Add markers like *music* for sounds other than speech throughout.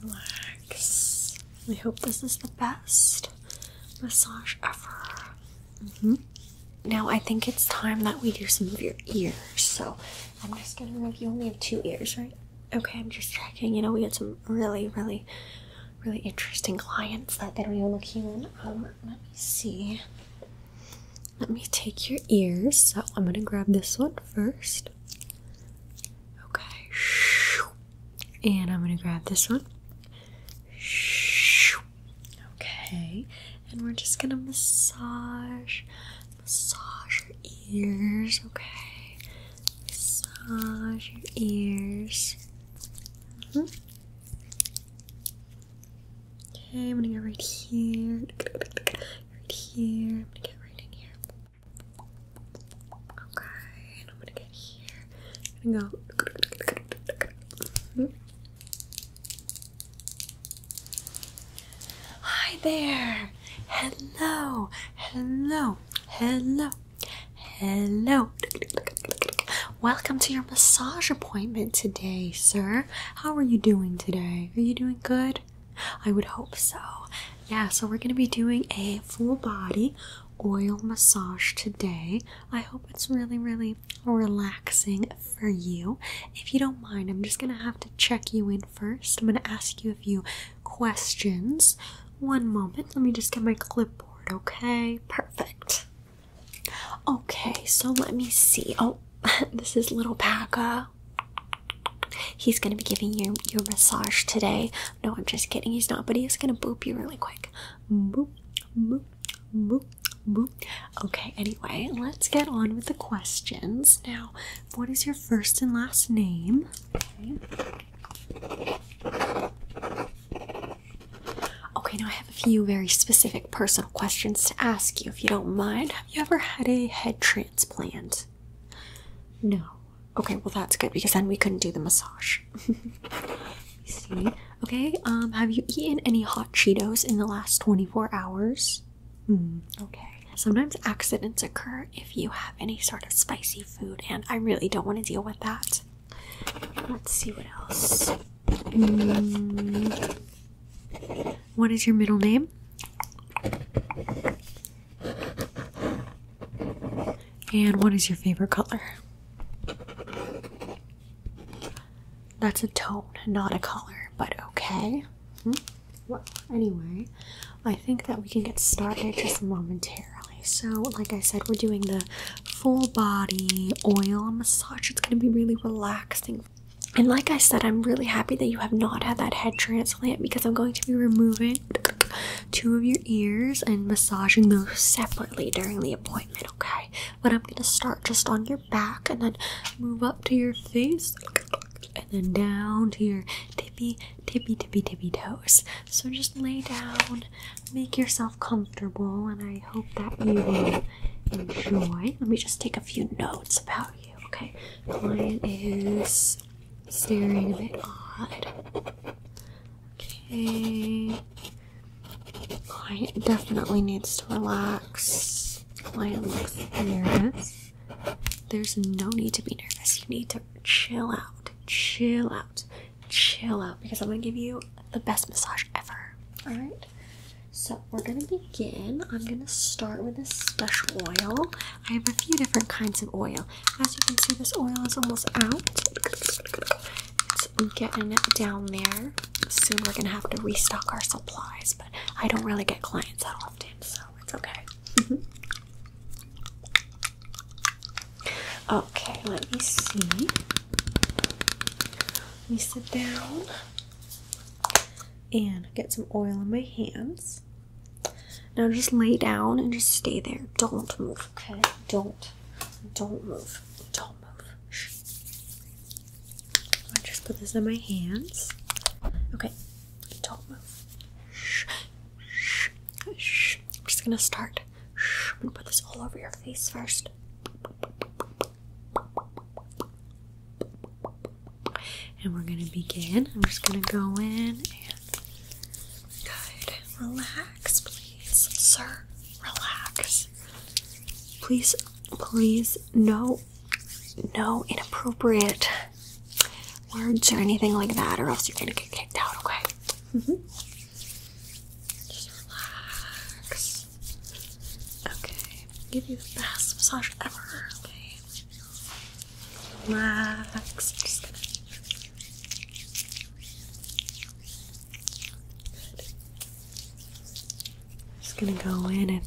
Relax. I hope this is the best massage ever. Mm-hmm. Now I think it's time that we do some of your ears. So I'm just gonna rub. You only have two ears, right? Okay, I'm just checking. You know, we had some really, really, really interesting clients that they don't even look human. let me see. Let me take your ears. So I'm gonna grab this one first. Okay. And I'm going to grab this one. Okay. And we're just going to massage. Massage your ears. Okay. Massage your ears. Mm-hmm. Okay, I'm going to go right here right here. I'm gonna get right in here. Okay, and I'm gonna get here. i go. Hi there! Hello! Hello! Hello! Hello! Welcome to your massage appointment today, sir. How are you doing today? Are you doing good? I would hope so. Yeah, so we're gonna be doing a full body oil massage today. I hope it's really, really relaxing for you. If you don't mind, I'm just gonna have to check you in first. I'm gonna ask you a few questions. One moment, let me just get my clipboard, okay? Perfect. Okay, so let me see. Oh, *laughs* this is little Paka. He's gonna be giving you your massage today. No, I'm just kidding. He's not, but he is gonna boop you really quick. Boop, boop, boop, boop. Okay. Anyway, let's get on with the questions. Now, what is your first and last name? Okay. Okay, now I have a few very specific personal questions to ask you if you don't mind. Have you ever had a head transplant? No. Okay, well that's good because then we couldn't do the massage. *laughs* see. Okay, um, have you eaten any hot Cheetos in the last 24 hours? Hmm, okay. Sometimes accidents occur if you have any sort of spicy food, and I really don't want to deal with that. Let's see what else. Mm. What is your middle name? And what is your favorite color? That's a tone, not a color, but okay. Hmm? Well, anyway, I think that we can get started just momentarily. So, like I said, we're doing the full body oil massage. It's going to be really relaxing. And like I said, I'm really happy that you have not had that head transplant because I'm going to be removing two of your ears and massaging those separately during the appointment, okay? But I'm gonna start just on your back and then move up to your face and then down to your tippy, tippy, tippy, tippy toes. So just lay down, make yourself comfortable, and I hope that you will enjoy. Let me just take a few notes about you. Okay, client is staring a bit odd. Okay. I definitely needs to relax. Client looks nervous. There's no need to be nervous. You need to chill out, chill out, chill out because I'm gonna give you the best massage ever. Alright? So we're gonna begin. I'm gonna start with this special oil. I have a few different kinds of oil. As you can see, this oil is almost out. It's getting down there. Soon we're gonna have to restock our supplies, but I don't really get clients that often, so it's okay. *laughs* Okay, let me see. Let me sit down and get some oil on my hands. Now just lay down and just stay there. Don't move, okay? Don't. Don't move. Don't move. Shh. I just put this in my hands. Okay. Don't move. Shh. Shh. Shh. I'm just gonna start. Shh. I'm gonna put this all over your face first. And we're gonna begin. I'm just gonna go in and good. Relax, please, sir. Relax. Please, please, no, no inappropriate words or anything like that, or else you're gonna get kicked out. Okay. -hmm. Just relax. Okay. Give you the best massage ever. Relax. I'm just gonna. go in and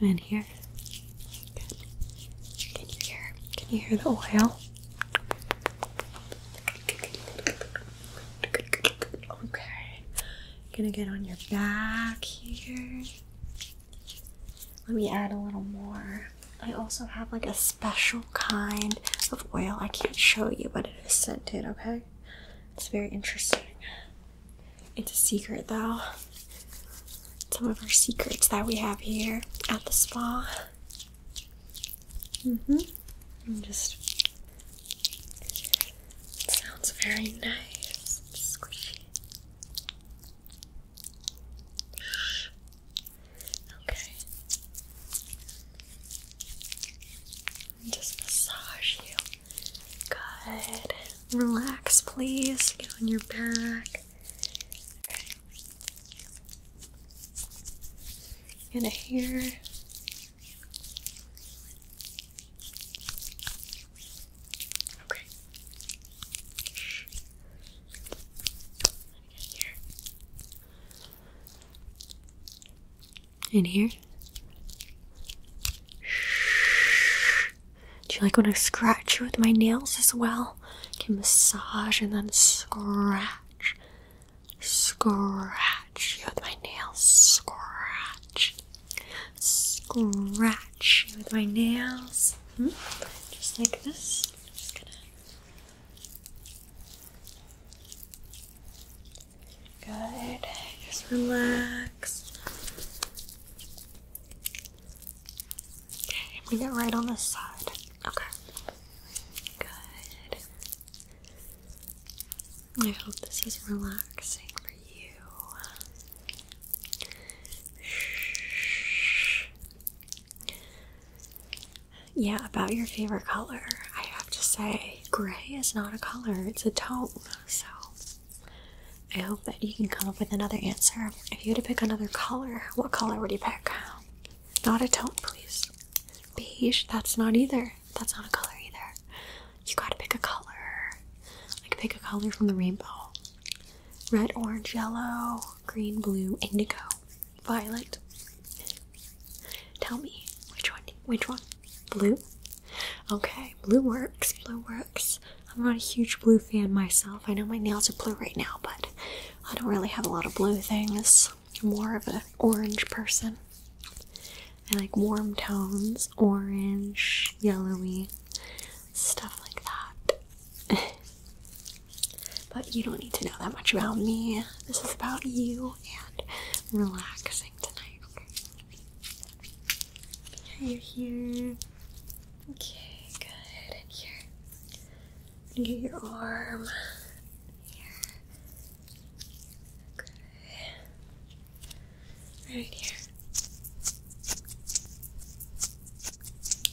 in here. Can you hear? Can you hear the oil? Okay. I'm gonna get on your back here. Let me add a little more. I also have like a special kind of oil. I can't show you, but it is scented, okay? It's very interesting. It's a secret though. Some of our secrets that we have here at the spa. Mm hmm. just. sounds very nice. Squishy. Okay. Just massage you. Good. Relax, please. Get on your back. Okay. Into here. Okay. Shh. Here. In here. Do you like when I scratch you with my nails as well? can massage and then scratch, scratch you with my nails, scratch scratch with my nails. Hmm? Just like this. just Good. Just relax. Okay, we get right on this side. Okay. Good. I hope this is relaxing for you. Yeah, about your favorite color. I have to say, gray is not a color, it's a tone. So I hope that you can come up with another answer. If you had to pick another color, what color would you pick? Not a tone, please. Beige, that's not either. That's not a color either you gotta pick a color. Like, pick a color from the rainbow red, orange, yellow, green, blue, indigo, violet. Tell me which one? Which one? Blue? Okay, blue works. Blue works. I'm not a huge blue fan myself. I know my nails are blue right now, but I don't really have a lot of blue things. I'm more of an orange person. I like warm tones orange, yellowy, stuff like that. *laughs* but you don't need to know that much about me. This is about you and relaxing tonight. Okay, you're here. Okay, good. In here. Under your arm. Here. Good. Right here.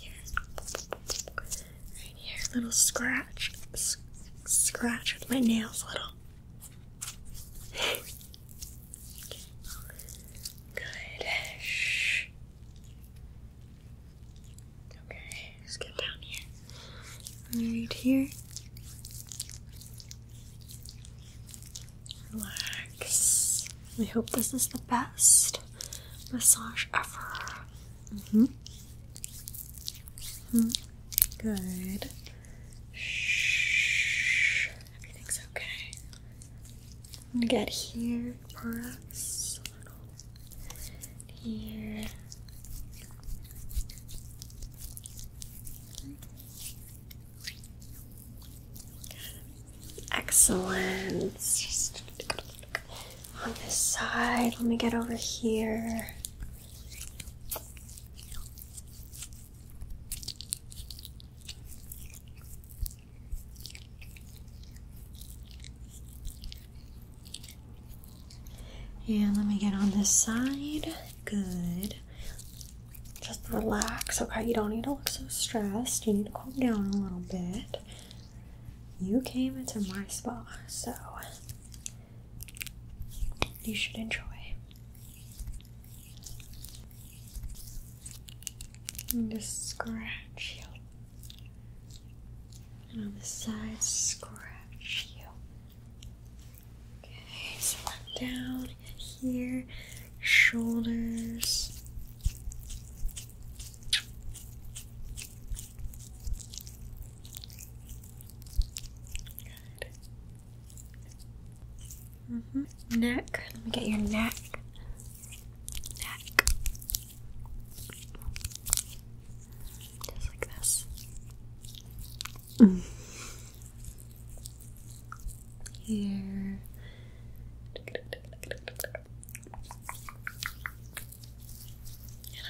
Here. Right here. Little scratch. scratch with my nails, little. Good. Shh. Okay, just get down here. Right here. Relax. I hope this is the best massage ever. -hmm. -hmm. Good. Shh. Everything's okay. I'm gonna get here, perhaps. A Here. Excellent. on this side, let me get over here. And let me get on this side. Good. Just relax, okay? You don't need to look so stressed. You need to calm down a little bit. You came into my spa, so you should enjoy. I'm scratch you. And on the side, scratch you. Okay, so i down here shoulders. Good. -hmm. Neck. Let me get your neck. Neck. Just like this. Mm here. And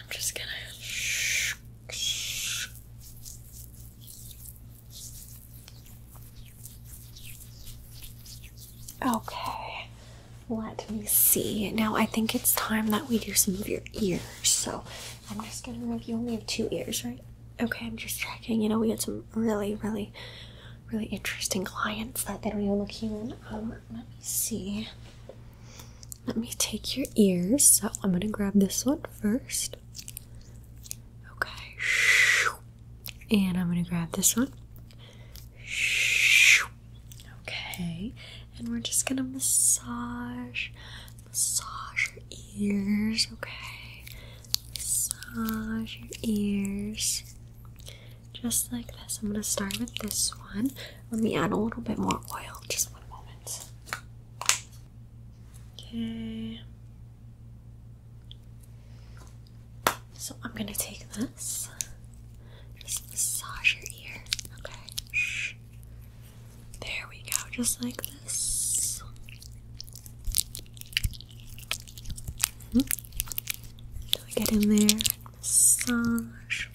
I'm just gonna Okay, let me see. Now I think it's time that we do some of your ears. So I'm just gonna rub. You only have two ears, right? Okay, I'm just checking. You know, we had some really, really really interesting clients that they don't even look human. let me see. Let me take your ears. So I'm gonna grab this one first. Okay. And I'm gonna grab this one. Okay. And we're just gonna massage, massage your ears. Okay massage your ears just like this. I'm going to start with this one. Let me add a little bit more oil. Just one moment. Okay. So I'm going to take this. Just massage your ear. Okay. There we go. Just like this. Mm -hmm. get in there massage.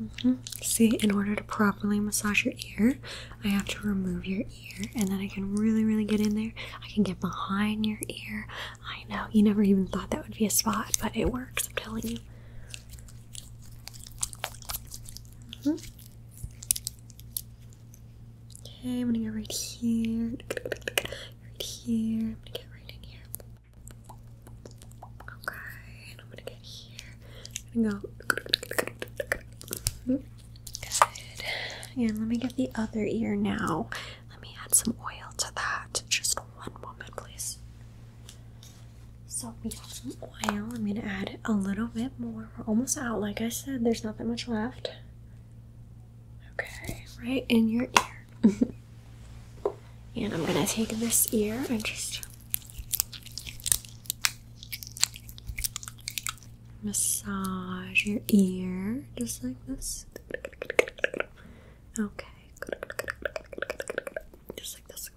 Mm-hmm. See, in order to properly massage your ear, I have to remove your ear, and then I can really, really get in there. I can get behind your ear. I know you never even thought that would be a spot, but it works. I'm telling you. Mm-hmm. Okay, I'm gonna go right here. Right here. I'm gonna get right in here. Okay, and I'm gonna get here. i go. Good. And let me get the other ear now. Let me add some oil to that. Just one moment, please. So we have some oil. I'm gonna add a little bit more. We're almost out. Like I said, there's not that much left. Okay, right in your ear. and I'm gonna take this ear and just massage your ear just like this. Okay. Just like this.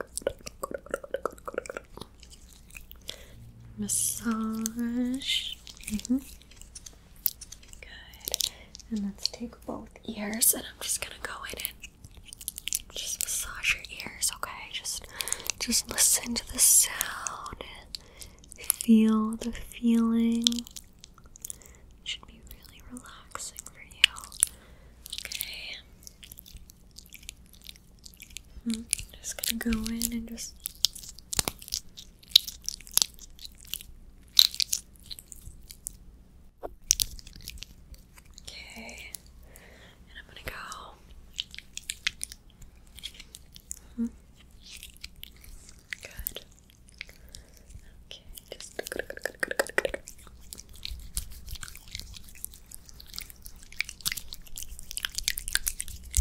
Massage. Mm-hmm. Good. And let's take both ears, and I'm just gonna go in and just massage your ears. Okay, just just listen to the sound. Feel the feeling. Should be really relaxing for you. Okay. Hmm. just gonna go in and just okay, and I'm gonna go. -hmm. Good. Okay,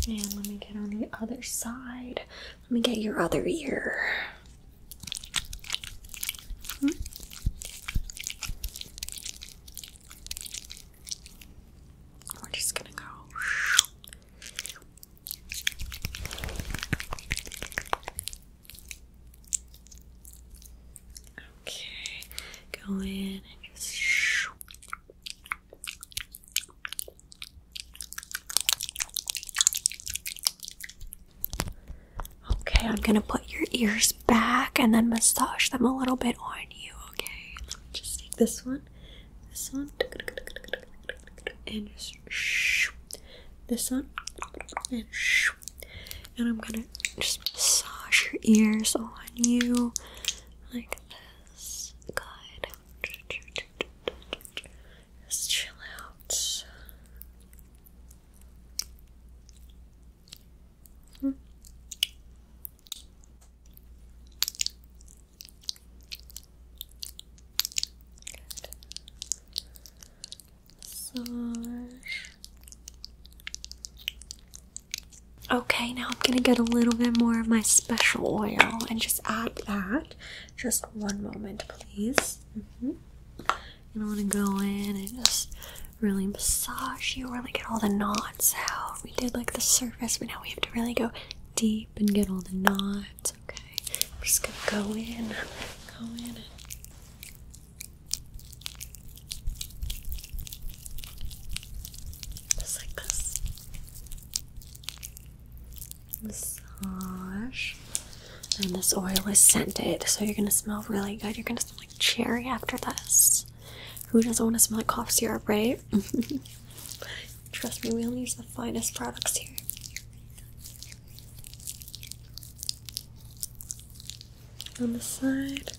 and let me get on the other side. Let me get your other ear. Hmm. We're just gonna go. Okay, go in and just. Okay, I'm gonna put your ears back and then massage them a little bit on you. Okay, just take this one, this one, and just this one, and and I'm gonna just massage your ears on you like this. Good. Just chill out. Massage. Okay, now I'm gonna get a little bit more of my special oil and just add that. Just one moment, please. Mm -hmm. And wanna go in and just really massage you, really get all the knots out. We did like the surface, but now we have to really go deep and get all the knots. Okay, I'm just gonna go in, go in, just like this. Massage. And this oil is scented, so you're gonna smell really good. You're gonna smell like cherry after this. Who doesn't want to smell like cough syrup, right? *laughs* Trust me, we only use the finest products here. On the side,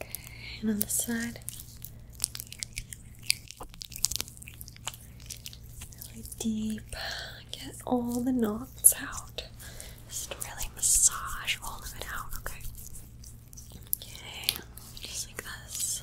Okay, and on the side. Really deep. Get all the knots out. Just really massage all of it out, okay? Okay, just like this.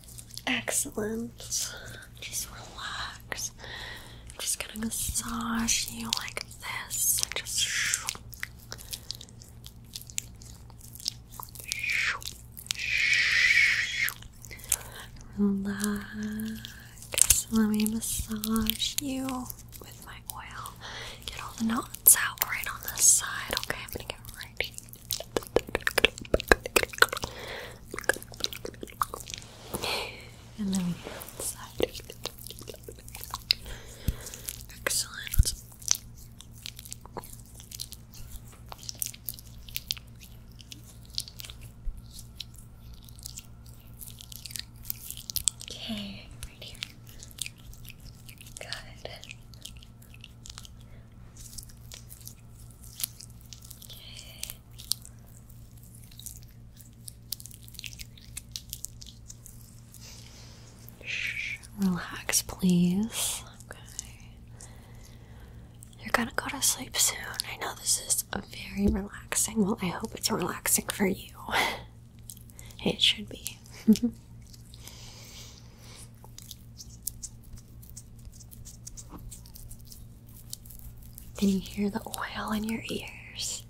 Excellent. Just relax. I'm just gonna massage you like this. just Relax. Let me massage you with my oil. Get all the knots out right on this side. Okay, I'm gonna get right. And then we go inside. Excellent. Okay, right here. Good. Okay. Shh, relax, please. Okay. You're gonna go to sleep soon. I know this is very relaxing. Well, I hope it's relaxing for you. *laughs* it should be. *laughs* and you hear the oil in your ears.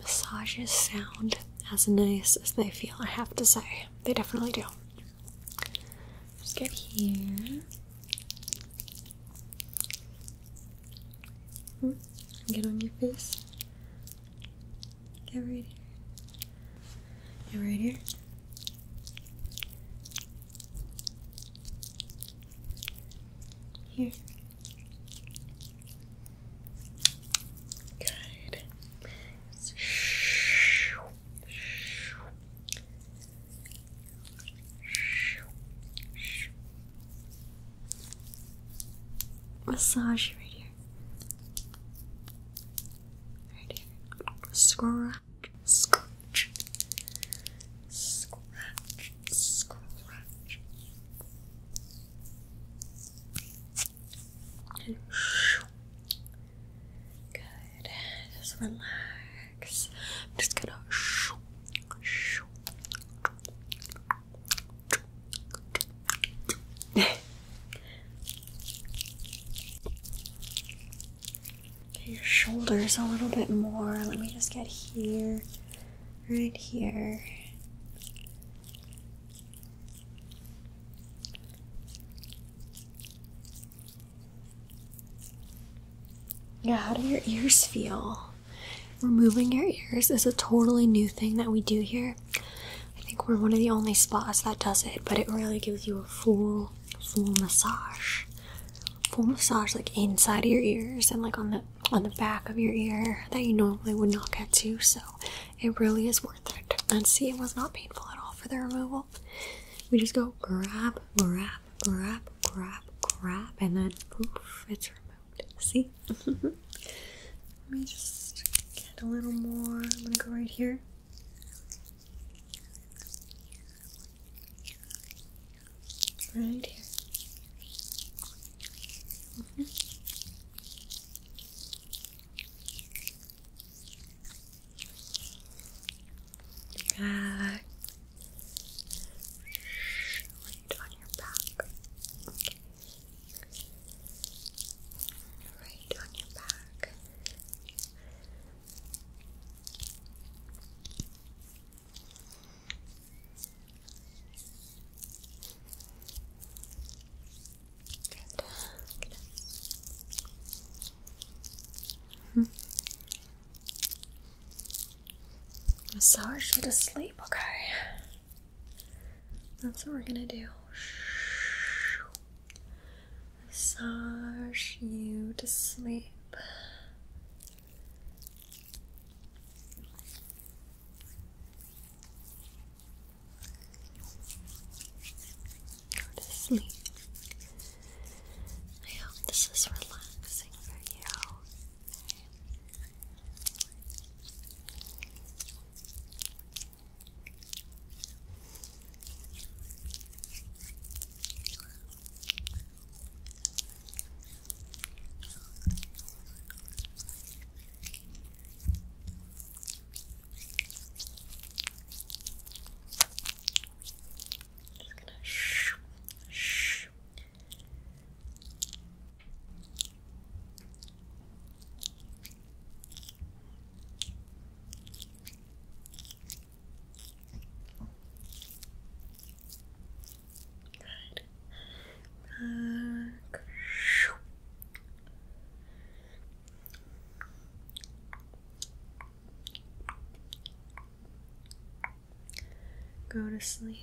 Massages sound as nice as they feel, I have to say. They definitely do. Just get here. Hmm, get on your face. Get right here. Get right here. Here. Good. Massage right here. Right here. Scroll scratch, scratch, scratch, and shoo. Good. Just relax. just gonna shoo, *laughs* shoo your shoulders a little bit more. Let me just get here, right here. Yeah, how do your ears feel? Removing your ears is a totally new thing that we do here. I think we're one of the only spas that does it, but it really gives you a full, full massage full massage like inside of your ears and like on the on the back of your ear that you normally would not get to so it really is worth it and see it was not painful at all for the removal we just go grab grab grab grab grab and then poof it's removed see *laughs* let me just get a little more i'm gonna go right here Right here. Back. Mm-hmm. Right on your back. Right on your back. Mm -hmm. Massage you to sleep, okay? That's what we're gonna do massage you to sleep. to sleep. this is relaxing for you. Just gonna shh, shh. Just Good. Go to sleep.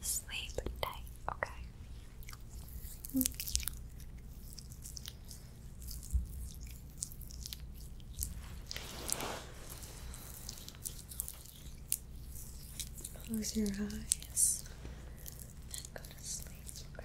Sleep tight, okay? Close your eyes and go to sleep, okay?